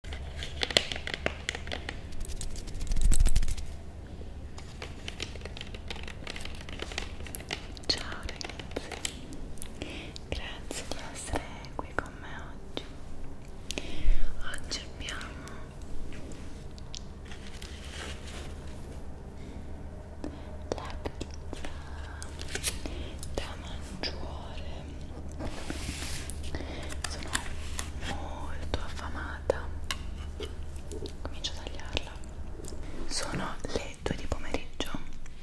Ciao ragazzi, grazie di essere qui con me oggi. Oggi abbiamo la pizza da mangiare sono molto affamata comincio a tagliarla sono le 2 di pomeriggio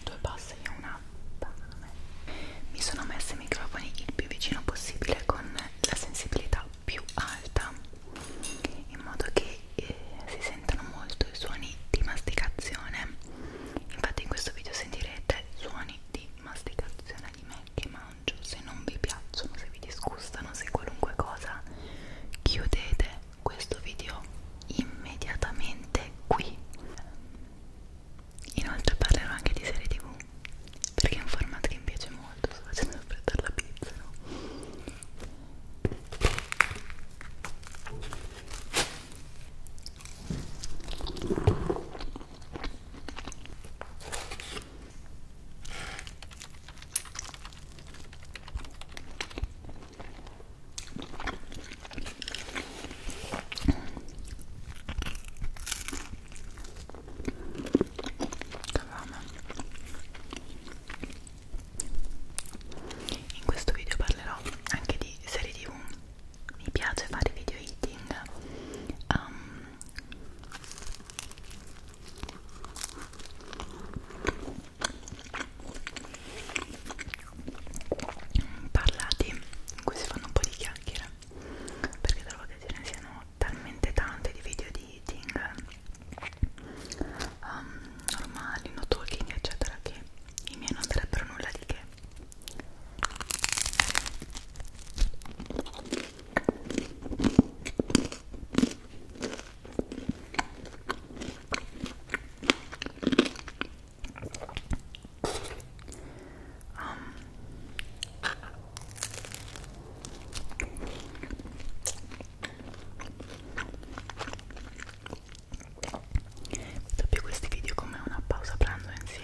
due pasta e una pane mi sono messa i microfoni il più vicino possibile con la sensibilità più alta in modo che eh, si sentano molto i suoni di masticazione infatti in questo video sentirete suoni di masticazione di me me che mangio, se non vi piacciono, se vi disgustano, se qualunque cosa, chiudete questo video immediatamente qui. Inoltre parlerò anche di serie tv, perché è un format che mi piace molto, sto facendo aspettare la pizza, no? In questo video parlerò anche di serie tv. Mi piace fare video eating. Um, parlati in cui si fanno un po' di chiacchiere perché trovo che ce ne siano talmente tante di video di eating um, normali, no talking eccetera che i miei non sarebbero nulla di che Dopo questi video come una pausa pranzo insieme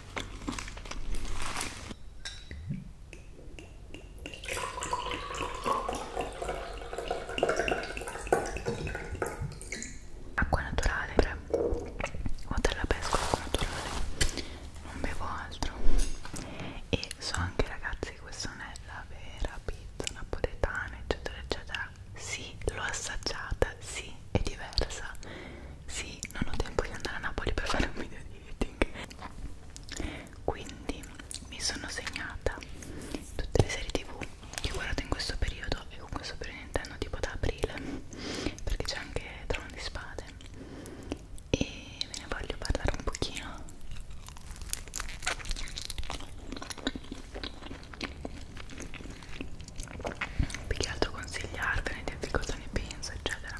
acqua naturale o della pesca acqua naturale non bevo altro e so anche ragazzi che questa non è la vera pizza napoletana eccetera eccetera sì l'ho assaggiata sì Napoli è diversa sì, non ho tempo di andare a Napoli per fare un video di eating quindi mi sono segnata tutte le serie tv che ho guardato in questo periodo e con questo periodo intendo tipo da aprile perché c'è anche Trono di Spade e ve ne voglio parlare un pochino più che altro consigliarvene, dirvi cosa ne penso eccetera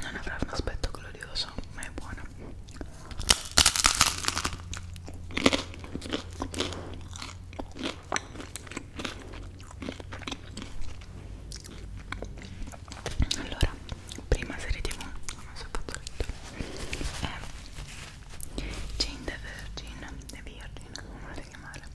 non avrà un aspetto glorioso ma è buona allora prima serie tv come si è fatto letto è Jane the Virgin The Virgin come volete chiamare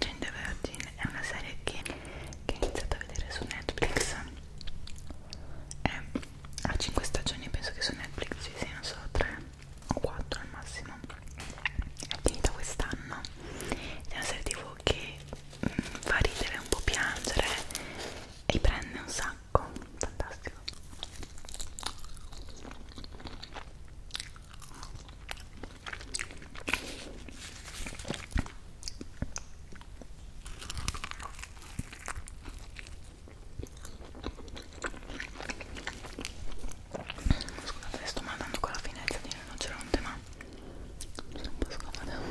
Gente Vergine è una serie che, che ho iniziato a vedere su Netflix è, ha 5 stagioni penso che su Netflix ci siano solo 3 o 4 al massimo è finita quest'anno è una serie tv che mh, mm, fa ridere un po' piangere e prende un sacco fantastico Scusate, sto mandando con la finezza di non geronte, ma sono un po' scomoda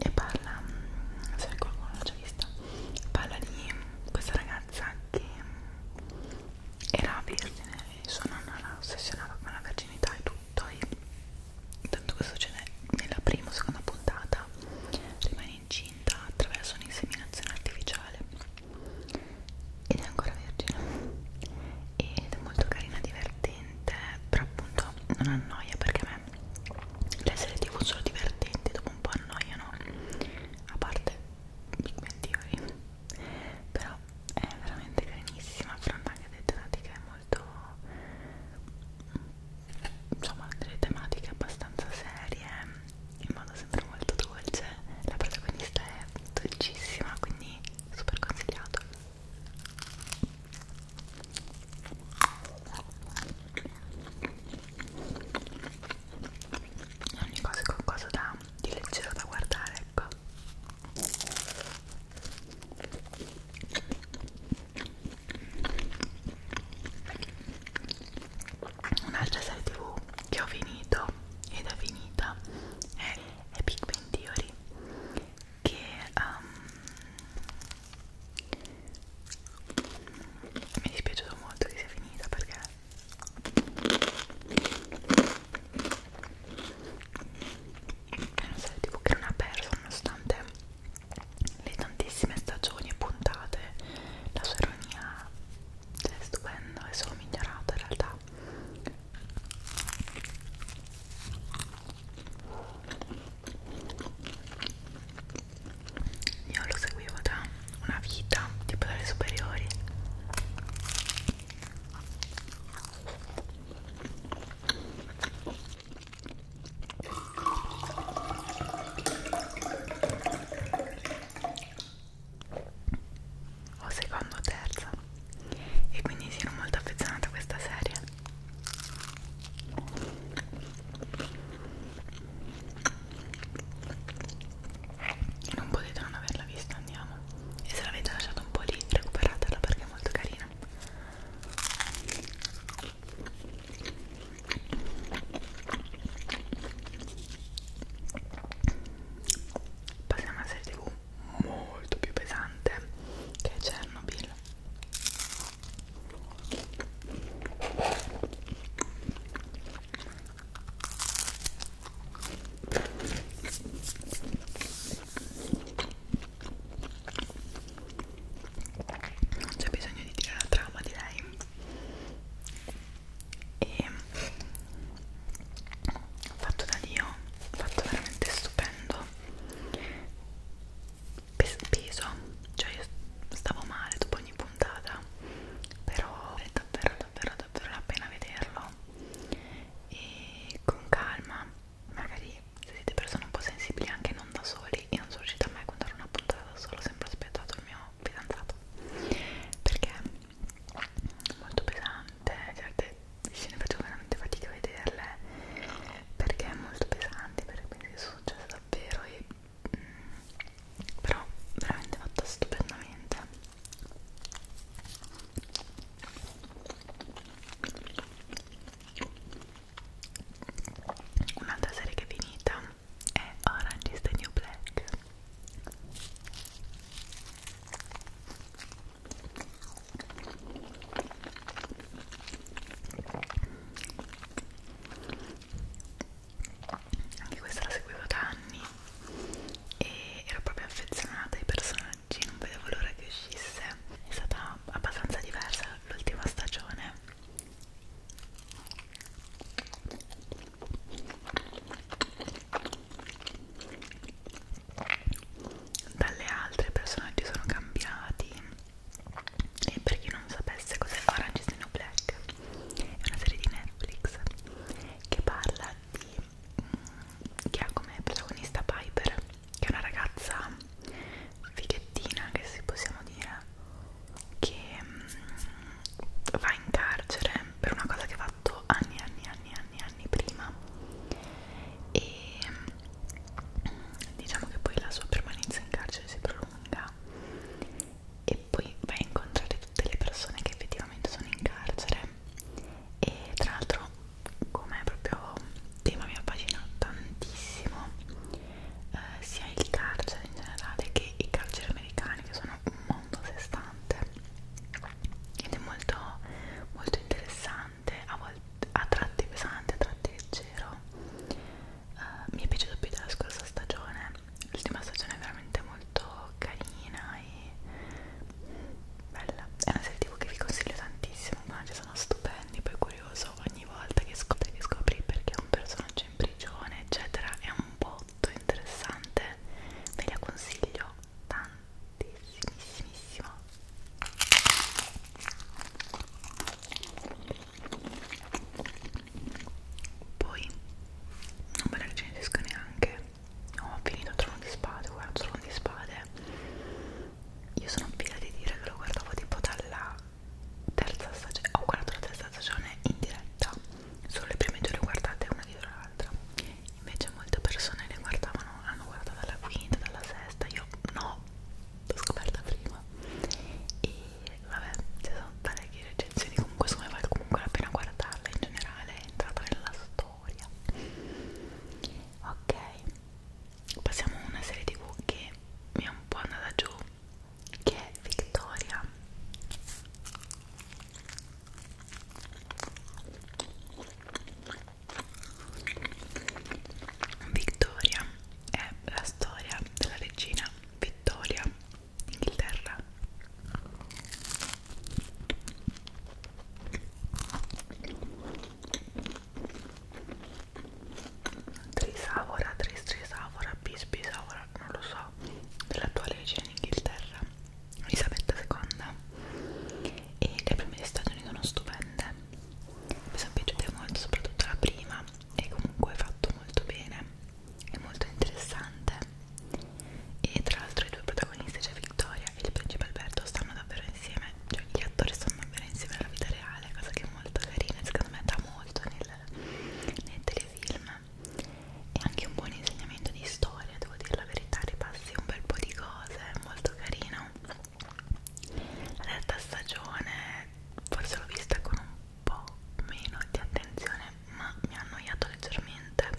e parla, se qualcuno l'ha già vista, parla di questa ragazza che era vergine e sua nonna la ossessionava con la verginità e tutto e tanto questo succede nella prima o seconda puntata rimane incinta attraverso un'inseminazione artificiale ed è ancora vergine ed è molto carina, divertente però appunto dico ecco, non annoia perché a me le serie tv sono divertenti dopo un po' annoiano a parte Big Bang Theory però è veramente carinissima affronta anche delle tematiche molto insomma delle tematiche abbastanza serie in modo sempre molto dolce la protagonista è dolcissima quindi super consigliato in ogni cosa è qualcosa da, di leggero da guardare ecco un'altra serie tv che ho finito ed è finita è, è Big Bang Theory che um, mi è dispiaciuto molto che sia finita perché non so, tipo che non ha perso nonostante le tantissime stagioni e puntate la sua ironia è stupenda, è solo migliorata in realtà io lo seguivo da una vita tipo dalle superiori o secondo o terza e quindi sono molto affezionata a questa serie non potete non averla vista andiamo e se l'avete lasciata un po' lì recuperatela perché è molto carina Passiamo a serie tv molto più pesante che Chernobyl non c'è bisogno di dire la trama di lei e fatto da Dio fatto veramente stupendo peso cioè io stavo male dopo ogni puntata però è davvero davvero davvero la pena vederlo e con calma magari se siete persone un po' sensibili anche non da soli io non sono riuscita mai a contare una puntata da solo ho sempre aspettato il mio fidanzato perché è molto pesante certe scene facevo veramente fatica a vederle perché è molto pesante perché penso che sono successe davvero e mh, mm, però veramente fatta stupendamente un'altra serie che è finita è Orange is the New Black anche questa la seguivo da anni e ero proprio affezionata ai personaggi non vedevo l'ora che uscisse è stata abbastanza diversa l'ultima stagione dalle altre personaggi sono cambiati e per chi non sapesse cos'è Orange is the New Black è una serie di Netflix che parla di mm, che ha come protagonista Piper che è una ragazza fighettina che si possiamo dire che mm, va in carcere per una cosa che ha fatto anni anni anni anni anni prima e mm, diciamo che poi la sua permanenza in carcere si prolunga e poi vai a incontrare tutte le persone che effettivamente sono in carcere e tra l'altro come proprio tema mi affascina tantissimo eh, sia il carcere in generale che i carceri americani che sono un mondo a sé stante ed è molto molto interessante pesante, a, volte, a tratti pesante, a tratti leggero. Uh, mi è piaciuto più della scorsa stagione. L'ultima stagione è veramente molto carina e bella. È una serie tipo che vi consiglio tantissimo, ma ci sono stupendi, poi curioso ogni volta che scopri, che scopri perché un personaggio in prigione, eccetera, è un botto interessante. Ve la consiglio tantissimissimo poi non me la recensisco neanche. Ho finito il trono di spade, guardo il trono di spade. Io sono pila di dire che lo guardavo tipo dalla terza stagione. Ho guardato la terza stagione in diretta. Solo le prime due le guardate una dietro l'altra. Invece molte persone le guardavano, hanno guardato dalla quinta, dalla sesta. Io no, l'ho scoperta prima e vabbè ci sono parecchie recensioni comunque secondo me vale comunque la pena guardarla in generale è entrata nella storia ok passiamo a una serie tv che mi è un po' andata giù che è Victoria Victoria è la storia della regina Vittoria d'Inghilterra. Trisavora, Tris Trisavora, Bisbisavora, non lo so, dell'attuale regina d'Inghilterra, Elisabetta II. E le prime stagioni sono stupende mi sono piaciute molto soprattutto la prima e comunque è fatto molto bene è molto interessante e tra l'altro i due protagonisti cioè Victoria e il principe Alberto stanno davvero insieme cioè gli attori stanno davvero insieme alla vita reale cosa che è molto carina e secondo me dà molto nel, nel telefilm e anche un buon insegnamento di storia devo dire la verità ripassi un bel po' di cose è molto carino la terza stagione forse l'ho vista con un po' meno di attenzione ma mi ha annoiato leggermente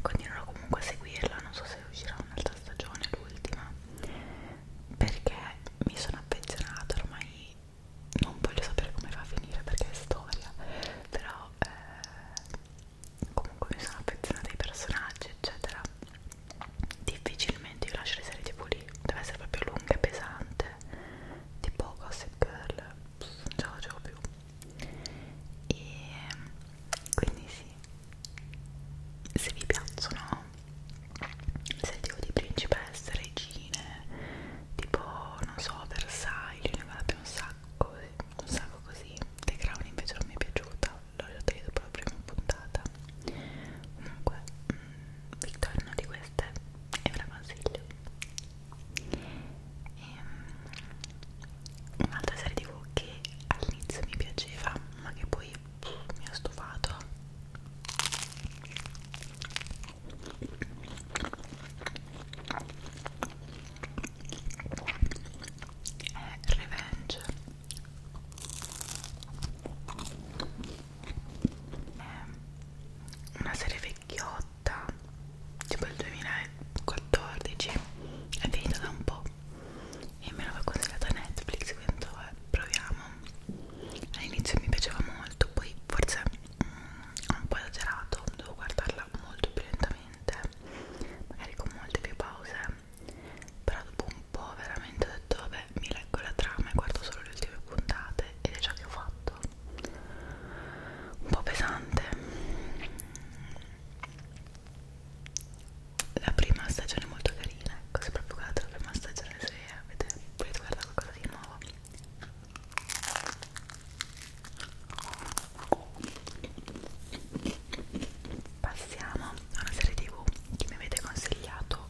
continuerò comunque a seguirla non so se uscirà un'altra stagione l'ultima perché mi sono affezionata ormai non voglio sapere come va a finire perché è storia però eh, comunque mi sono affezionata ai personaggi eccetera difficilmente io lascio le serie tv lì deve essere proprio lunga e pesante tipo Gossip Girl Pff, non ce la facevo più e quindi sì se vi piacciono le serie tv di principesse, regine tipo non so Versailles ne guarda un sacco un sacco così The Crown invece non mi è piaciuta l'ho già detto dopo la prima puntata comunque Victoria mm, una di queste e ve la consiglio e, ehm, un'altra serie tv che all'inizio mi piaceva ma che poi mi ha stufato è Revenge Ehm, una serie vecchiotta tipo il 2014 è finita da un po' e me l'aveva consigliata Netflix quindi vabbè, proviamo all'inizio mi piaceva molto poi forse mm, ho un po' esagerato devo guardarla molto più lentamente magari con molte più pause però dopo un po' veramente ho detto vabbè mi leggo la trama e guardo solo le ultime puntate ed è ciò che ho fatto un po' pesante la prima stagione è molto carina ecco se proprio guardate la prima stagione se avete, volete guardare qualcosa di nuovo Passiamo a una serie tv che mi avete consigliato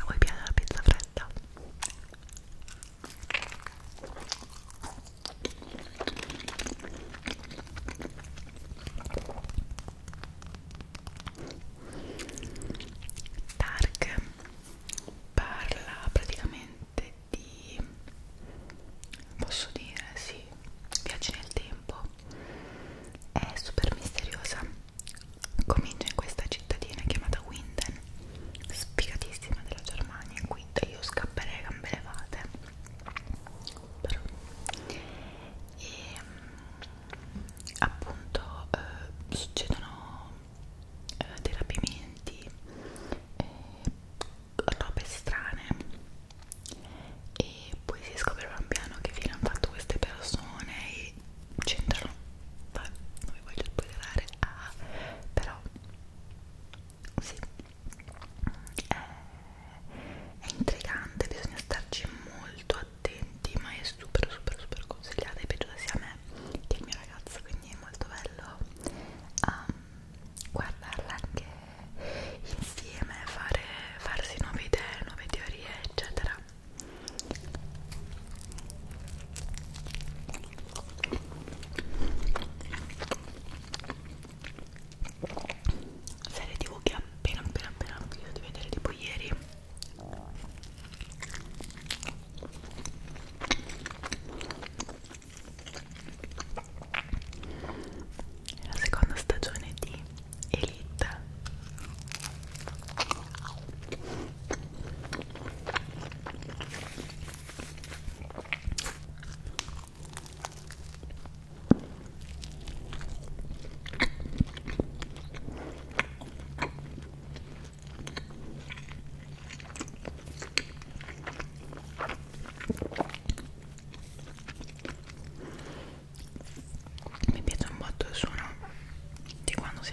a voi piace la pizza fredda? Dark parla praticamente di posso dire sì viaggi nel tempo è super misteriosa comincia in questa cittadina chiamata Winden, sfigatissima della Germania, in cui io scapperei a gambe levate. Però. E ehm, appunto eh, succedono eh, dei rapimenti, eh, robe strane e poi si scopre pian piano che fine hanno fatto queste persone e c'entrano vabbè, non vi voglio spoilerare ah, però sì è, è intrigante bisogna starci molto attenti ma è super super super consigliata è piaciuta sia a me che al mio ragazzo quindi è molto bello um, guardarla anche insieme fare, farsi nuove idee nuove teorie eccetera serie tv che appena appena appena ho finito di vedere tipo ieri la seconda stagione di Elite mi piace un botto il suono di quando si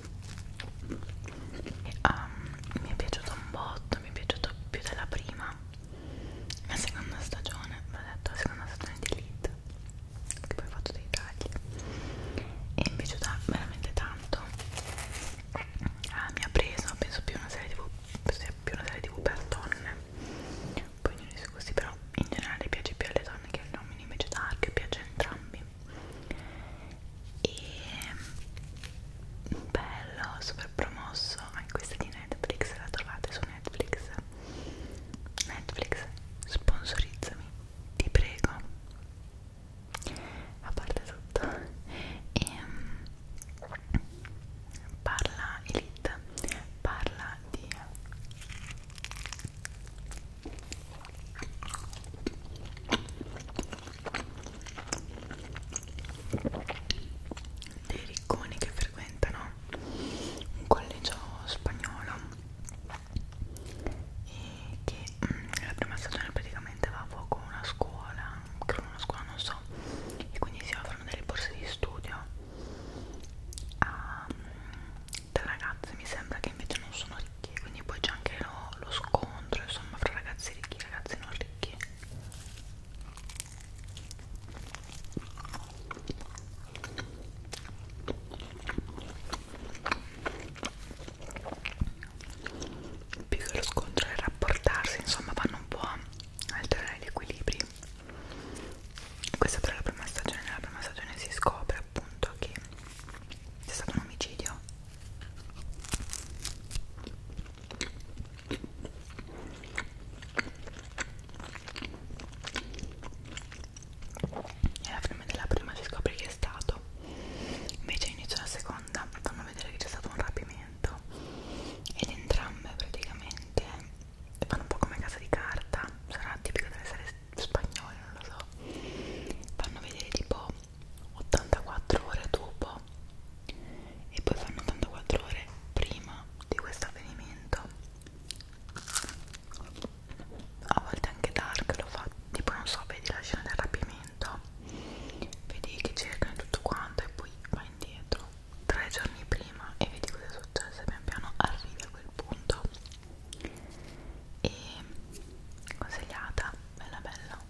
um, mi è piaciuto un botto mi è piaciuto più della prima la seconda stagione l'ho detto la seconda stagione di Elite che poi ho fatto dei tagli e mi è piaciuta veramente tanto ah, mi ha preso penso più una serie tv più una serie tv per donne poi ognuno di questi però in generale piace più alle donne che agli uomini invece Dark piace a entrambi e mm, bello, super promosso anche questa di Netflix, la trovate su Netflix Netflix, sponsorizzami, ti prego a parte tutto e mm, parla Elite parla di dei ricconi che frequentano un collegio spagnolo e che nella mm, prima stagione praticamente va a fuoco una scuola, credo una scuola non so, e quindi si offrono delle borse di studio a, da mm, ragazze mi sembra che invece non sono ricchi quindi poi c'è anche lo, lo scontro insomma fra ragazzi ricchi e ragazzi non ricchi più che lo scontro è rapportarsi insomma vanno un po' a alterare gli equilibri questa però è la prima stagione nella prima stagione si scopre appunto che c'è stato un omicidio e alla fine della prima si scopre chi è stato. Invece all'inizio della seconda fanno vedere che c'è stato un rapimento. Ed entrambe praticamente fanno un po' come casa di carta. Sarà tipica delle serie spagnole, non lo so. Fanno vedere tipo 84 ore dopo e poi fanno 84 ore prima di questo avvenimento a volte anche Dark lo fa tipo non so vedi la scena del rapimento vedi che cercano tutto quanto e poi va indietro tre giorni prima e vedi cosa è successo e pian piano arrivi a quel punto e consigliata bella bella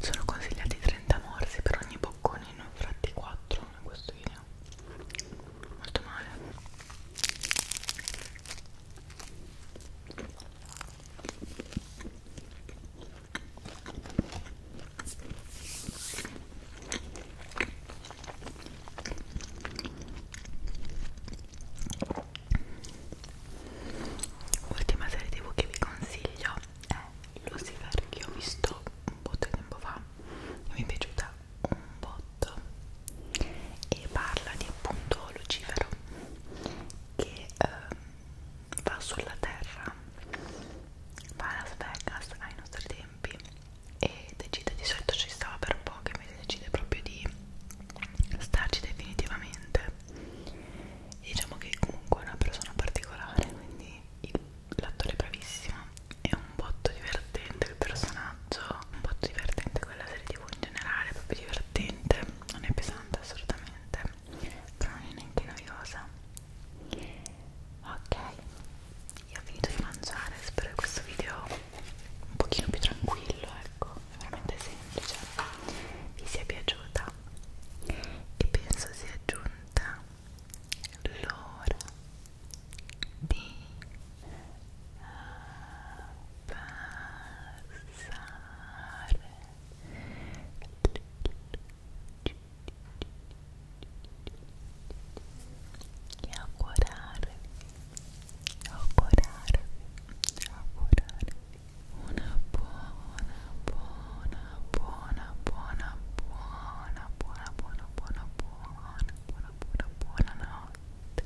sono consigliati 30 morsi per ogni boccone ne ho fatti 4 in questo video molto male Ultima serie tv che vi consiglio è Lucifer che ho visto un po' di tempo fa e mi è piaciuta un botto e parla di appunto Lucifero che eh, va sulla terra va a Las Vegas ai nostri tempi e decide di solito ci stava per poco invece decide proprio di starci definitivamente e diciamo che comunque è una persona particolare quindi il l'attore bravissimo è un botto divertente il personaggio un botto divertente quella serie tv in generale proprio divertente non è pesante assolutamente però non è neanche noiosa ok io ho finito di mangiare spero che questo video un pochino più tranquillo ecco è veramente semplice vi sia piaciuta e penso sia giunta l'ora di eh, passare e augurarvi augurarvi augurarvi una buona buona buona, buona, buona, buona, buona, buona, buona, buona, buona, buona notte.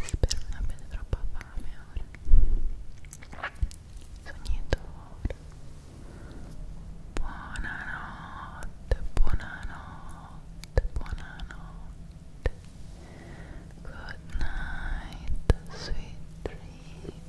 Spero non troppa fame ora. Sognatore. Buonanotte, buonanotte, buonanotte. Good night, sweet dreams.